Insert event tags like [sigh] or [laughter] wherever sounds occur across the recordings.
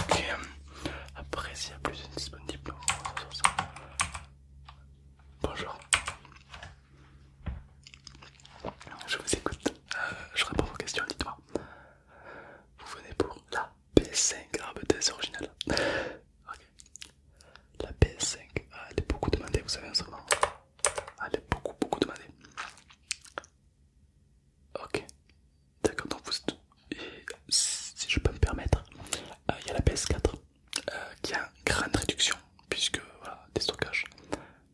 Ok, après s'il y a plus de disponible, on sur Bonjour. Je vous écoute. Euh, je réponds à vos questions, dites-moi. Vous venez pour la P5 grave originale. Ok. La PS5, ah, elle est beaucoup demandée, vous savez, un ce moment. Ah, elle est beaucoup, beaucoup demandée. Ok, d'accord, donc vous êtes... Et si je peux me permettre, euh, il y a la PS4 euh, qui a une grande réduction, puisque voilà, des stockages.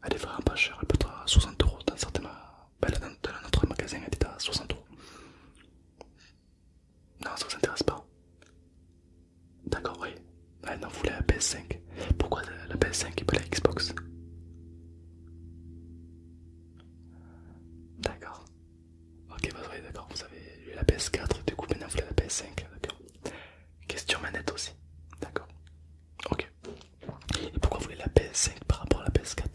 Elle est vraiment pas chère, elle peut être à 60 euros dans certains. Bah, notre magasin, elle est à 60 euros. Non, ça vous intéresse pas. D'accord, oui. Ah non, vous voulez la PS5. Pourquoi la PS5 et pas la Xbox D'accord. Ok, bah d'accord, vous avez eu la PS4, du coup maintenant vous voulez la PS5, d'accord. Question manette aussi, d'accord. Ok. Et pourquoi vous voulez la PS5 par rapport à la PS4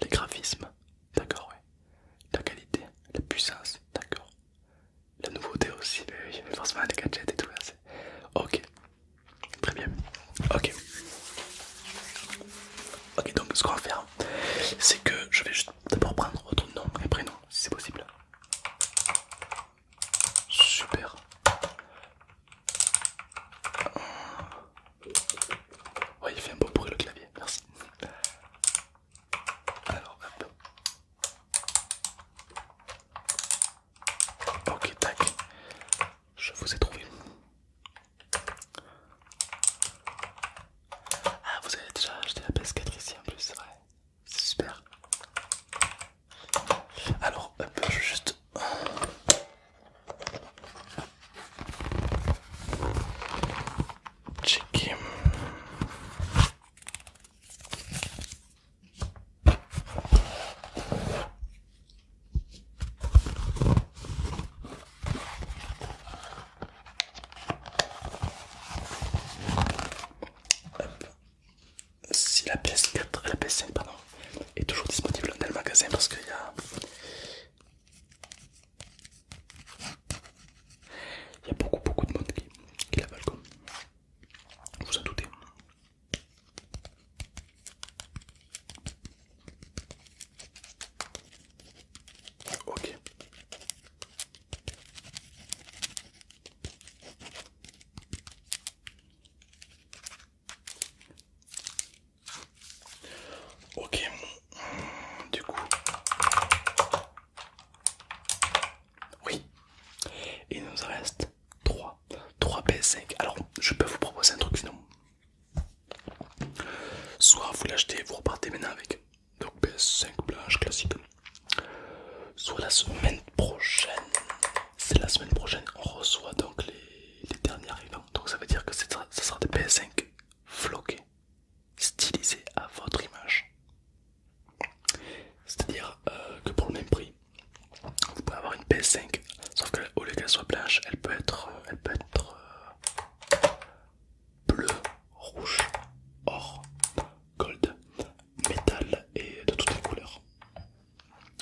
les graphismes, d'accord, ouais. La qualité, la puissance, d'accord. La nouveauté aussi, mais, forcément les gadgets et tout, là, Ok, très bien. Ok. Ok, donc ce qu'on va faire, c'est que je vais juste d'abord prendre votre nom et prénom, si c'est possible. Super. Ouais, il fait un beau bruit le clavier, merci. Alors, hop. Ok, tac. Je vous ai trouvé. Ah, vous avez déjà acheté la PS4 ici en plus, c'est vrai. C'est super. Alors, hop, je juste si la pièce 4 la pièce 5 pardon, est toujours disponible dans le magasin parce qu'il y a il y a beaucoup beaucoup de monde qui, la balcon, Vous en doutez. Ok. Ok, du coup, oui, il nous reste 3, 3 PS5. Alors, je peux vous proposer un truc sinon. Soit vous l'achetez, vous repartez maintenant avec. Donc PS5 blanche classique. Soit la semaine prochaine, c'est la semaine prochaine, on reçoit donc les, derniers dernières, donc ça veut dire que ce sera des PS5 floqués, stylisés à votre image. C'est-à-dire euh, que pour le même prix, vous pouvez avoir une PS5, sauf que au lieu qu'elle soit blanche, elle peut être, euh, peut être euh, bleue, rouge, or, gold, métal et de toutes les couleurs.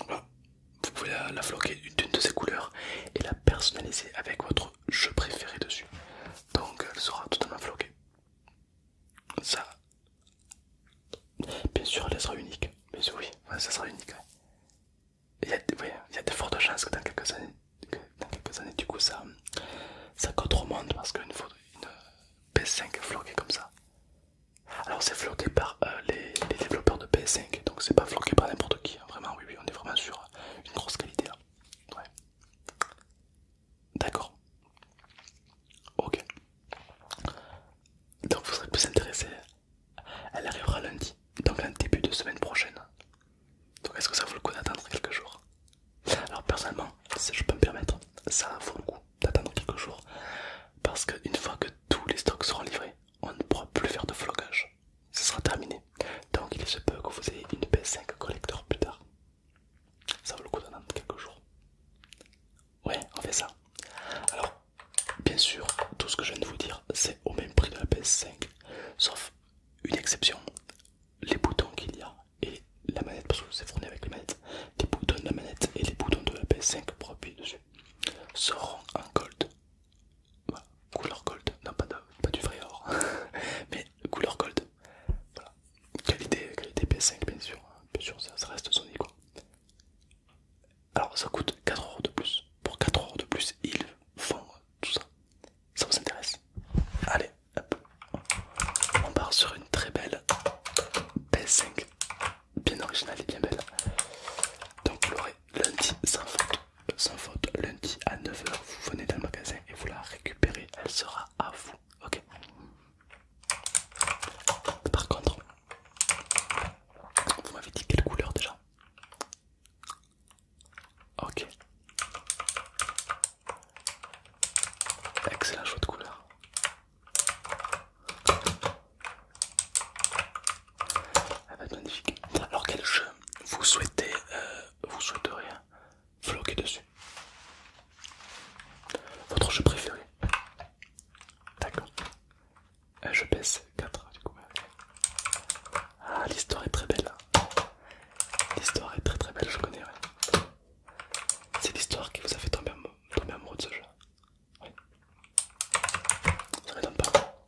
Vous pouvez la, floquer d'une de ses couleurs et la personnaliser avec votre jeu préféré dessus. Donc elle sera totalement floquée. Ça, bien sûr, elle sera unique. Bien oui, ça sera unique. Il y, a, de fortes chances que dans quelques années, du coup, ça, ça au monde parce qu'une une PS5 floquée comme ça, alors c'est floqué par euh, les, développeurs de PS5, donc c'est pas floqué par n'importe qui, hein. vraiment oui oui on est vraiment sur euh, une grosse qualité là. Ouais. D'accord. Ok. Donc vous serez plus intéressé. Elle arrivera lundi, donc en début de semaine prochaine. Donc est-ce que ça vaut le coup d'attendre quelques jours Alors personnellement, si je peux me permettre, ça vaut le coup d'attendre quelques jours. Parce qu'une fois que tous les stocks seront livrés, on ne pourra plus faire de flocage. Ce sera terminé. Donc il se peut que vous ayez une PS5 collector plus tard. Ça vaut le coup d'en quelques jours. Ouais, on fait ça. Alors, bien sûr, tout ce que je viens de vous dire, c'est au même prix de la PS5. Sauf une exception. Les boutons qu'il y a et la manette, parce que c'est fourni avec la manette Les boutons de la manette et les boutons de la PS5 pour appuyer dessus. Se seront en gold. Voilà, couleur gold, non pas, pas du vrai or, [laughs] mais couleur gold. Voilà, qualité, qualité PS5 bien sûr, hein. bien sûr ça, reste Sony quoi. Alors ça coûte 4 euros de plus. Pour 4 euros de plus, ils font tout ça. Ça vous intéresse Allez, hop. on part sur une très belle p 5 bien originale et bien belle. Donc vous l'aurez lundi sans faute, sans faute, lundi à 9h, vous venez dans le magasin et vous la récupérez, elle sera à vous, ok Par contre, vous m'avez dit quelle couleur déjà Ok. Excellent choix de couleur. Elle va être magnifique. Alors quel jeu vous souhaitez, euh, vous floquer dessus Votre jeu préféré D'accord. Euh, je baisse 4 du coup. Ah l'histoire est très belle. Hein. L'histoire est très très belle, je connais. C'est l'histoire qui vous a fait tomber amoureux de ce jeu. Oui. Ça m'étonne pas.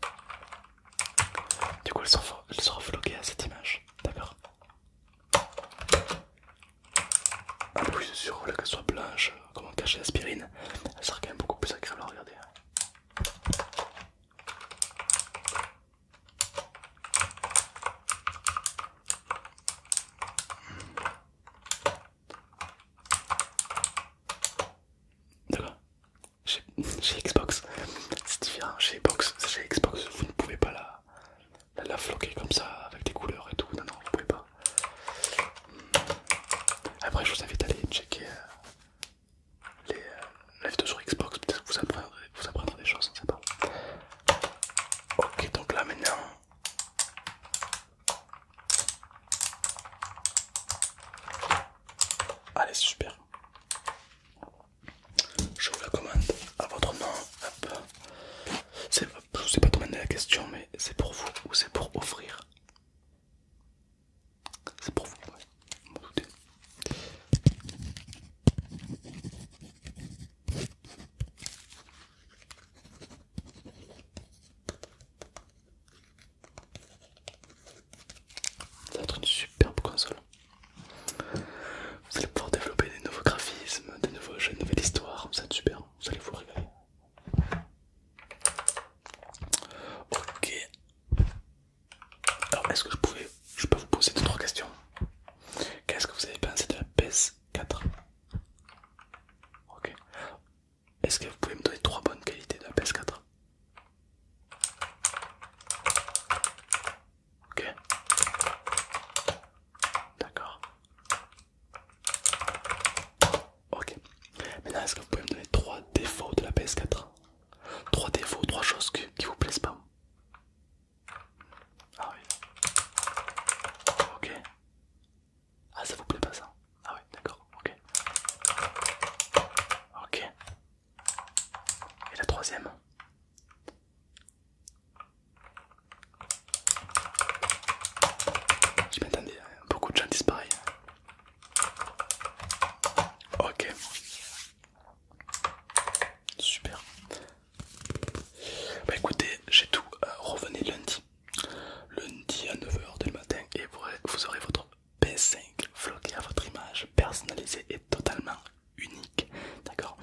Du coup, elle sera, elle sera vloguée à cette image. D'accord ah, oui, c'est sûr, là qu'elle soit blanche, euh, comme on cache l'aspirine, elle sera quand même beaucoup plus agréable à regarder. Hein. D'accord chez, Xbox, c'est différent. Chez Xbox, Xbox, vous ne pouvez pas la, la, floquer comme ça avec des couleurs et tout. Non, non, vous pouvez pas. Hmm. Après, je vous invite à aller checker euh, les, euh, lives de Xbox. Peut-être que vous apprendrez, vous des choses, on sait pas. Ok, donc là maintenant, Allez, super. Je vous la commande à votre nom. Je ne vous ai pas demander la question, mais c'est pour vous ou c'est pour offrir C'est pour vous, doutez ça va une superbe console. Vous allez pouvoir développer des nouveaux graphismes, des nouveaux jeux, de nouvelles histoires. Ça être super, vous allez vous régaler. Ok. Alors, est-ce que je pouvais, je peux vous poser deux trois questions Qu'est-ce que vous avez pensé de la baisse 4. Ok. Est-ce que vous pouvez me donner 3 bonnes qualités de la PS4 Ok. D'accord. Ok. Maintenant, est-ce que vous pouvez me donner trois défauts de la PS4 3 défauts, 3 choses qui, qui vous plaisent pas ah oui. Ok. Ah ça vous plaît pas ça Ah oui, d'accord, ok. Ok. Et la troisième Je m'entendais, beaucoup de gens disparaissent Ok. Super. Bah, écoutez, j'ai tout. Euh, revenez lundi. Lundi à 9h du matin et vous, aurez votre P5 floqué à votre image, personnalisée et totalement unique. D'accord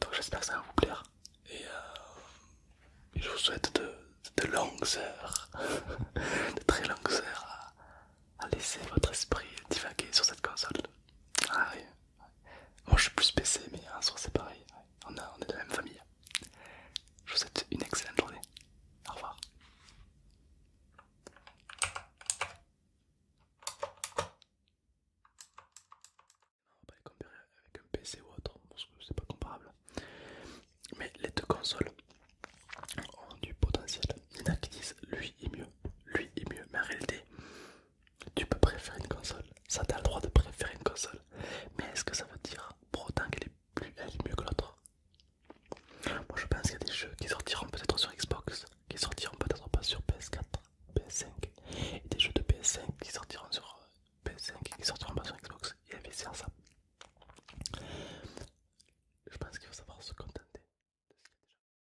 Donc j'espère que ça va vous plaire. Et, euh, je vous souhaite de, longues heures, [laughs] de très longues heures à, laisser votre esprit divaguer sur cette console. Ah, moi je suis plus PC, mais en soi c'est pareil. On, on est de la même famille. Je vous souhaite une excellente journée. Au revoir. On va pas les comparer avec un PC ou autre parce que c'est pas comparable. Mais les deux consoles ont du potentiel. Il y en a qui disent lui est mieux, lui est mieux. Mais en réalité, tu peux préférer une console, ça t'as le droit de préférer une console, mais est-ce que ça veut dire pour autant qu'elle est, plus, mieux que l'autre Moi je pense qu'il y a des jeux qui sortiront peut-être sur Xbox, qui sortiront peut-être pas sur PS4, PS5, et des jeux de PS5 qui sortiront sur euh, PS5 qui sortiront pas sur Xbox, et vice ça. Je pense qu'il faut savoir se contenter.